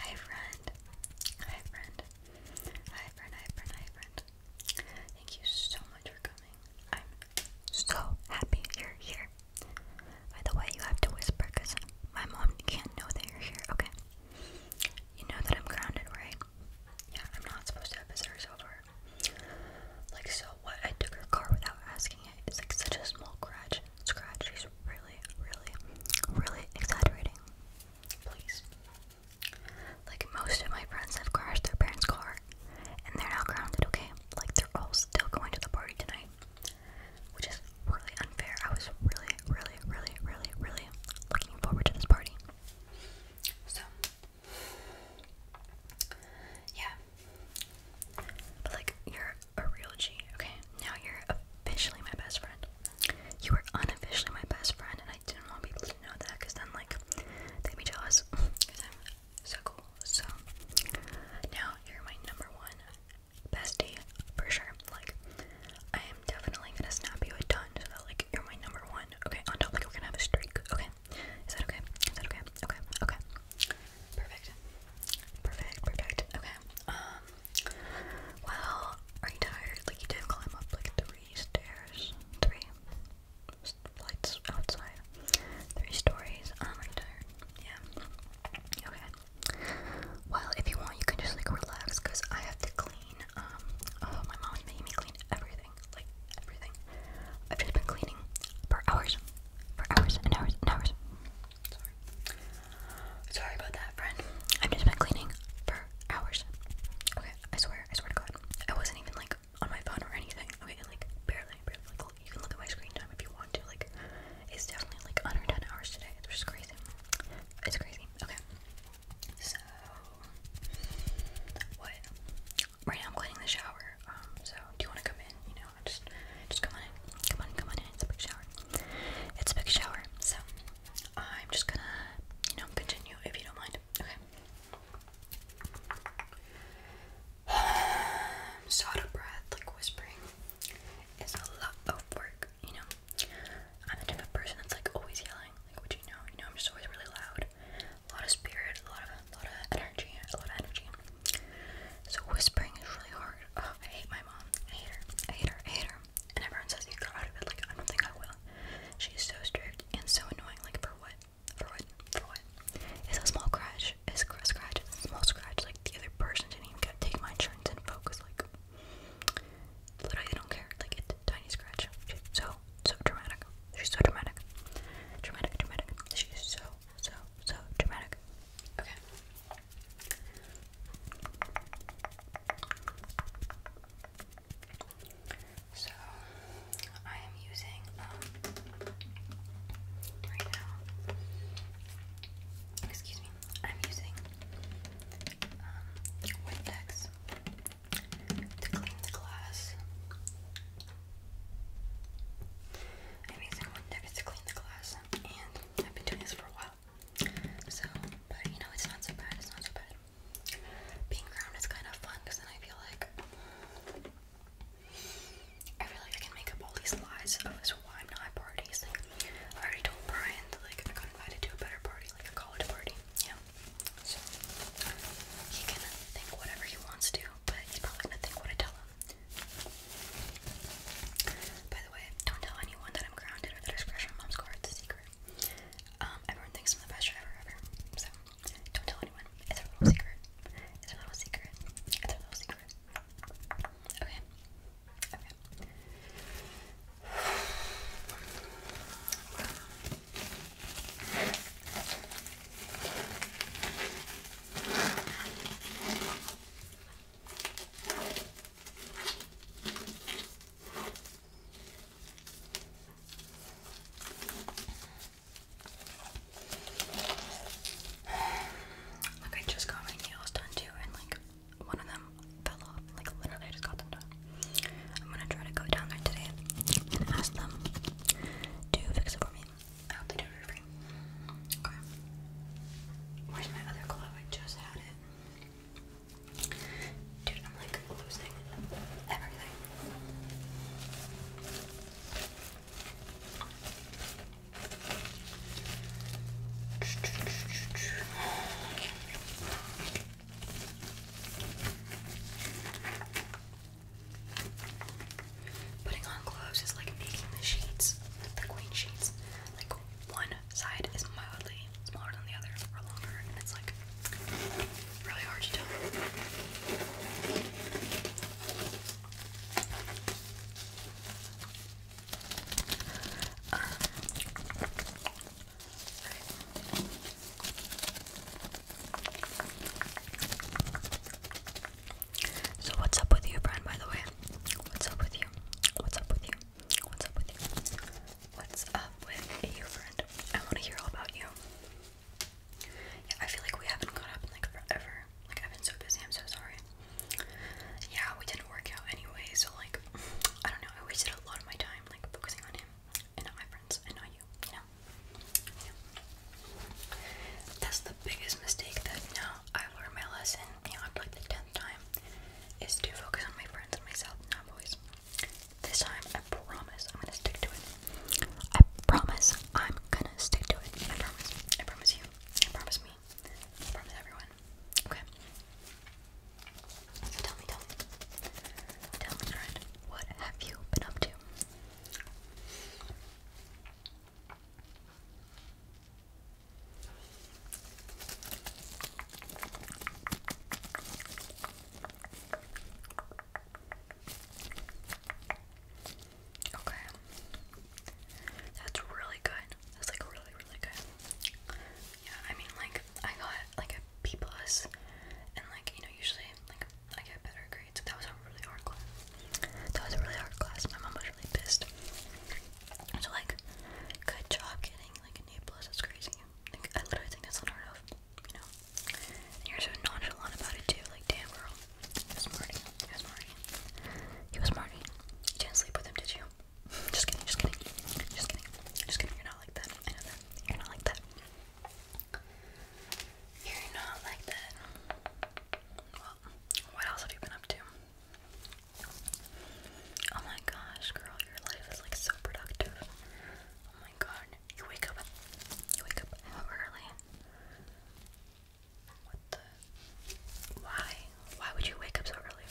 Hi friend. Hi friend. Hi friend. Hi friend. Hi friend. Thank you so much for coming. I'm so happy you're here. By the way, you have to whisper because my mom can't know that you're here, okay? You know that I'm grounded, right? Yeah, I'm not supposed to have visitors over. Like, so what? I took her car without asking it. It's like such a small grudge scratch is really, really, really exaggerating. Please. Like, most of my friends have crashed their parents' car and they're now grounded, okay? Like, they're all still going to the party tonight, which is really unfair. I was really, really, really, really, really looking forward to this party. So, yeah. But, like, your a real G. Okay, now you're officially my best friend. You were unofficially my best friend, and I didn't want people to know that because then, like, they'd be jealous because I'm so cool. So, now you're my number one bestie for sure. Like, I am definitely gonna snap you a ton so that, like, you're my number one. Okay, on top, like, we're gonna have a streak. Okay, is that okay? Is that okay? Okay, okay. Perfect. Perfect, perfect. Okay, um, well, are you tired? Like, you did climb up like three stairs. Three flights outside. Three stories. Um, are tired? Yeah. Okay. Well, if you want, you can just like relax because I have to clean. Um, oh, my mom's making me clean everything. Like, everything. I've just been cleaning for hours. For hours and hours and hours. Sorry. about that, friend. I've just been cleaning for hours. Okay, I swear, I swear to God. I wasn't even like on my phone or anything. Okay, like barely, barely. you can look at my screen time if you want to. Like, it's definitely like under 10 hours today. It's just crazy. It's crazy. Okay. So, what? Right now I'm cleaning the shower. Um, so do you want to come in? Just, just come on in. Come on, come on in. It's a big shower. It's a big shower. So I'm just gonna, you know, continue if you don't mind. Okay. i breath. Like whispering is a lot of work. You know, I'm the type of person that's like always yelling. Like, what you know? You know, I'm just always really loud. A lot of spirit, a lot of, lot of energy, a lot of energy. So whispering is really hard. Oh, I hate my mom. I hate her. I hate her. I hate her. And everyone says you grow out of it. Like I don't think I will. She's so strict and so annoying. Like for what? For what? For what? It's a small scratch. It's a small scratch. It's a small scratch. Like the other person didn't even get take my insurance and focus. Like literally, they don't care. Like it's tiny scratch. She's so so dramatic. She's so dramatic. Dramatic. Dramatic. She's so so, so dramatic. Okay. So, I am using, um, right now, excuse me, I'm using, um, to clean the glass. I'm using Windex to clean the glass and I've been doing this for a while. So, but you know, it's not so bad, it's not so bad. Being ground is kind of fun because then I feel like I feel like I can make up all these lies of so why I'm not at parties. Like, I already told Brian that like I got invited to a better party, like a college party. Yeah. So he can think whatever he wants to, but he's probably gonna think what I tell him. By the way, don't tell anyone that I'm grounded or that I mom's car. It's a secret. Um, everyone thinks I'm the best driver ever, so don't tell anyone. It's a little secret. It's a little secret. It's a little secret. Okay. Okay. Like I just got my nails done too, and like one of them fell off. Like literally, I just got them done. I'm gonna try to go down there today and ask them to fix it for me. I hope they do it Okay. Where's my other glove? I just had it. Dude, I'm like losing everything. Okay. Putting on clothes is like making the sheets, the queen sheets, like one side is mildly smaller than the other or longer, and it's like really hard to tell. So what's up with you, Brian? By the way, what's up with you? What's up with you? What's up with you? What's up with you, friend? I want to hear all about you. Yeah, I feel like we haven't caught up in like forever. Like I've been so busy. I'm so sorry. Yeah, we didn't work out anyway. So like, I don't know. I wasted a lot of my time like focusing on him and not my friends and not you. You know. That's the biggest mistake that no I learned my lesson beyond like the tenth time is to focus on my friends and myself, not boys. This time, I promise I'm gonna stick to it. I promise I'm gonna stick to it. I promise. I promise you. I promise me. I promise everyone. Okay. tell me, tell me. Tell me, friend, what have you been up to? Okay. That's really good. That's like really, really good. Yeah, I mean like I got like a B plus and like, you know, usually like I get better grades that was a really hard class. That was a really hard class. My mom was really pissed. So like, good job getting like an A plus. That's crazy. I literally think that's unheard of. You know, you're so nonchalant about it too. Like, damn girl, he was Marty. He was Marty. You didn't sleep with him, did you? just kidding. Just kidding. Just kidding. Just kidding. You're not like that. I know that. You're not like that. You're not like that. Well, what else have you been up to? Oh my gosh, girl, your life is like so productive. Oh my god, you wake up, you wake up how early? What the? Why? Why would you wake up so early?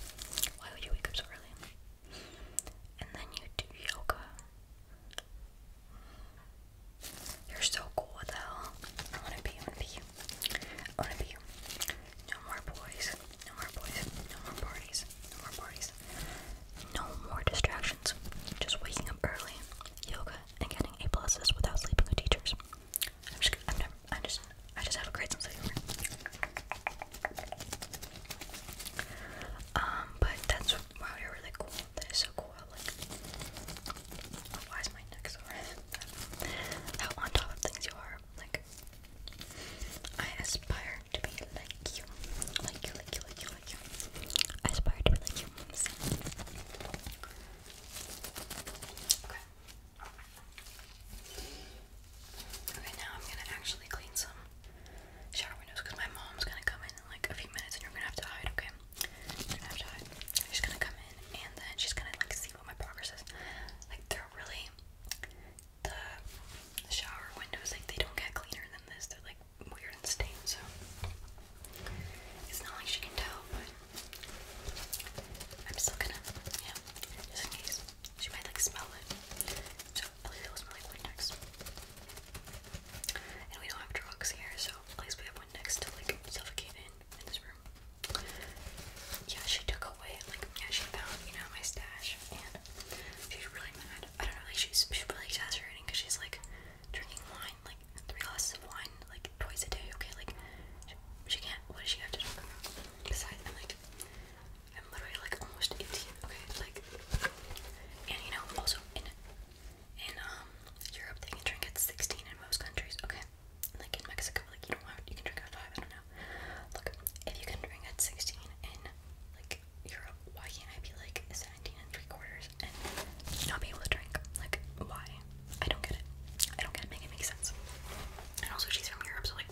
Why would you wake up so early? And then you do yoga. You're so cool. with the hell? I wanna be. I wanna be you. I wanna be you. No more boys. No more boys. No more parties. No more parties. No more distractions. Just waking up early, yoga, and getting A pluses without sleeping with teachers. I'm just. I'm I just. I just have a great sense of humor. Um, but that's wow, you're really cool. That is so cool why is my neck so How on top of things you are. Like, I aspire to be like you. Like you, like you, like you, like you. I aspire to be like you. Okay. Okay, now I'm gonna actually clean some shower windows because my mom's gonna come in in like a few minutes and you're gonna have to hide, okay? she's gonna come in and then she's gonna like see what my progress is. Like they're really the, shower windows like they don't get cleaner than this. They're like weird and stained, so it's not like she can tell, but I'm still gonna yeah, she might like smell it. So at least it'll smell like Windex. And we don't have drugs here, so Place we have one next to like suffocate in in this room. Yeah, she took away like yeah she found you know my stash and she's really mad. I don't know like she's she's really exasperating because she's like drinking wine like three glasses of wine like twice a day. Okay, like she, can't. What does she have to talk about? Besides, I'm like I'm literally like almost 18. Okay, like and you know also in in um, Europe they can drink at 16 in most countries. Okay. Like in Mexico, like you don't have you can drink at five, I don't know. Look, if you can drink at 16 in like Europe, why can't I be like 17 and three quarters and not be able to drink? Like, why? I don't get it. I don't get it. Make it make sense. And also she's from Europe, so like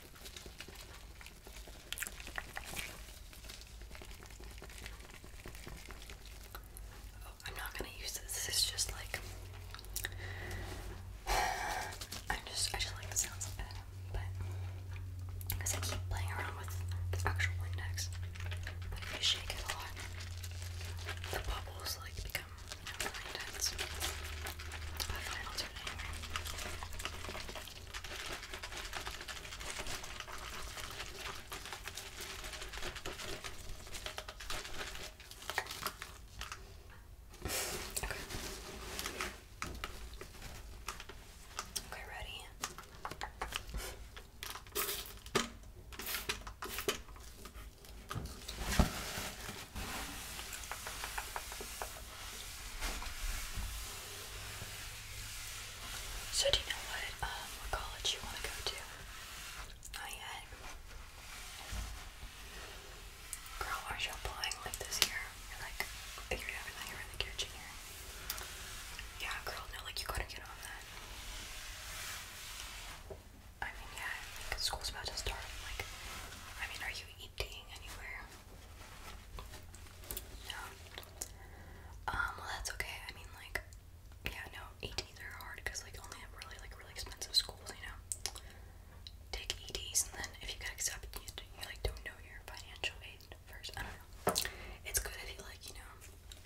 Oh, I'm not gonna use this. This is just like i just I just like the sounds of it, but because I keep playing around with the actual index, but shake it a lot, the bubbles like become you intense. I find I'll do Okay. Okay, ready? So do you know what um, college you want to go to? Not yet. Girl, are you applying like this year? like figuring everything you the kitchen Yeah, girl, no, like you gotta get on that. I mean yeah, like school's about to start. Like I mean, are you eating anywhere? No. Um, well, that's okay. I mean, like, yeah, no, ETs are hard because, like, only at really, like, really expensive schools, you know, take ETs, and then if you get accepted, you, you like, don't know your financial aid first. I don't know. It's good if you, like, you know,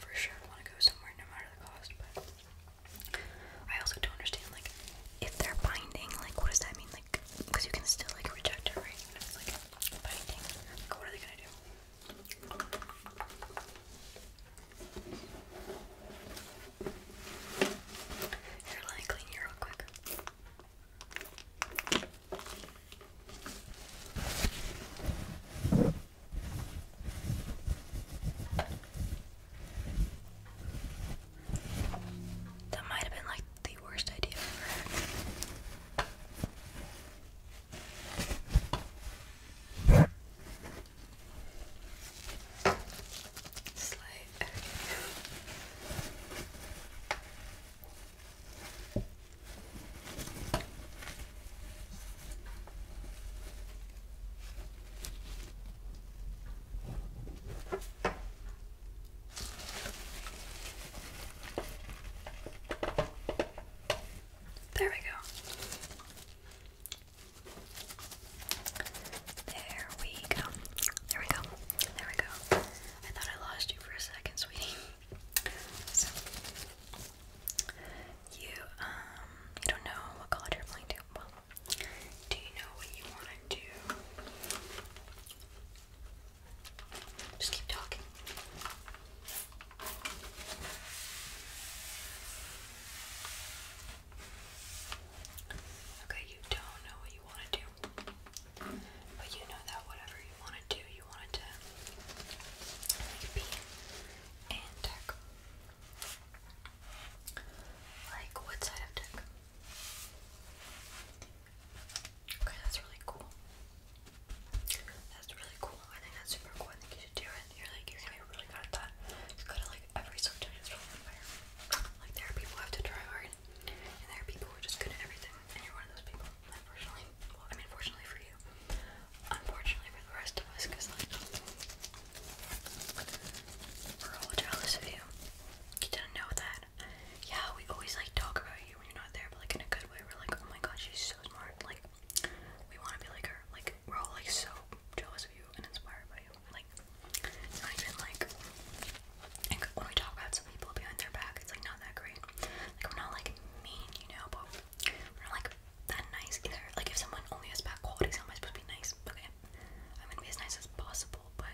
for sure want to go somewhere no matter the cost, but I also don't understand, like, if they're binding, like, what does that mean? like, because you can still like reject her right? like biting. Like, what are they gonna do? Here, clean you real quick. That might have been like the worst idea ever. There we go. There we go. There we go. There we go. I thought I lost you for a second, sweetie. So you um you don't know what college you're applying to. Do you know what you want to do? Just keep talking. Okay, you don't know what you want to do. But you know that whatever you want to do, you want to be in tech. Like what side of tech? Okay, that's really cool. That's really cool. I think that's super cool. I think you should do it. You're like, you're gonna be really good at that. It's good at like every subject is really Like, there are people who have to try hard, and there are people who are just good at everything, and you're one of those people, unfortunately. I mean, fortunately for you. Unfortunately for the rest of us, because like, we're all jealous of you. You didn't know that. Yeah, we always like talk about you when you're not there, but like in a good way. We're like, oh my god, she's so smart. Like, we want to be like her. Like, we're all like so jealous of you and inspired by you. Like, it's not even like. And when we talk about some people behind their back, it's like not that great. Like, we're not like mean, you know, but we're not like that nice either. Like, if someone only has bad qualities, how am I supposed to be nice? Okay, I'm gonna be as nice as possible, but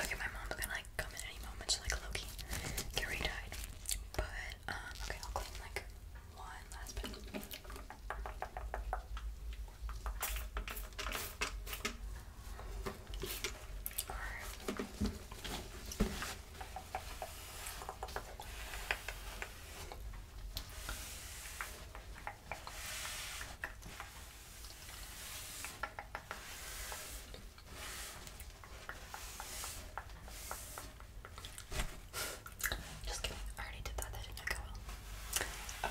Okay, my mom's gonna like come in any moment, so like Loki, get died. But um, okay, I'll clean like one last bit. Alright. Just kidding, I already did that, that did not go well.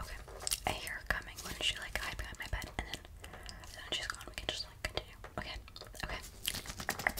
Okay. I hear coming when she like hide behind my bed and then, then she's gone. We can just like continue. Okay, okay.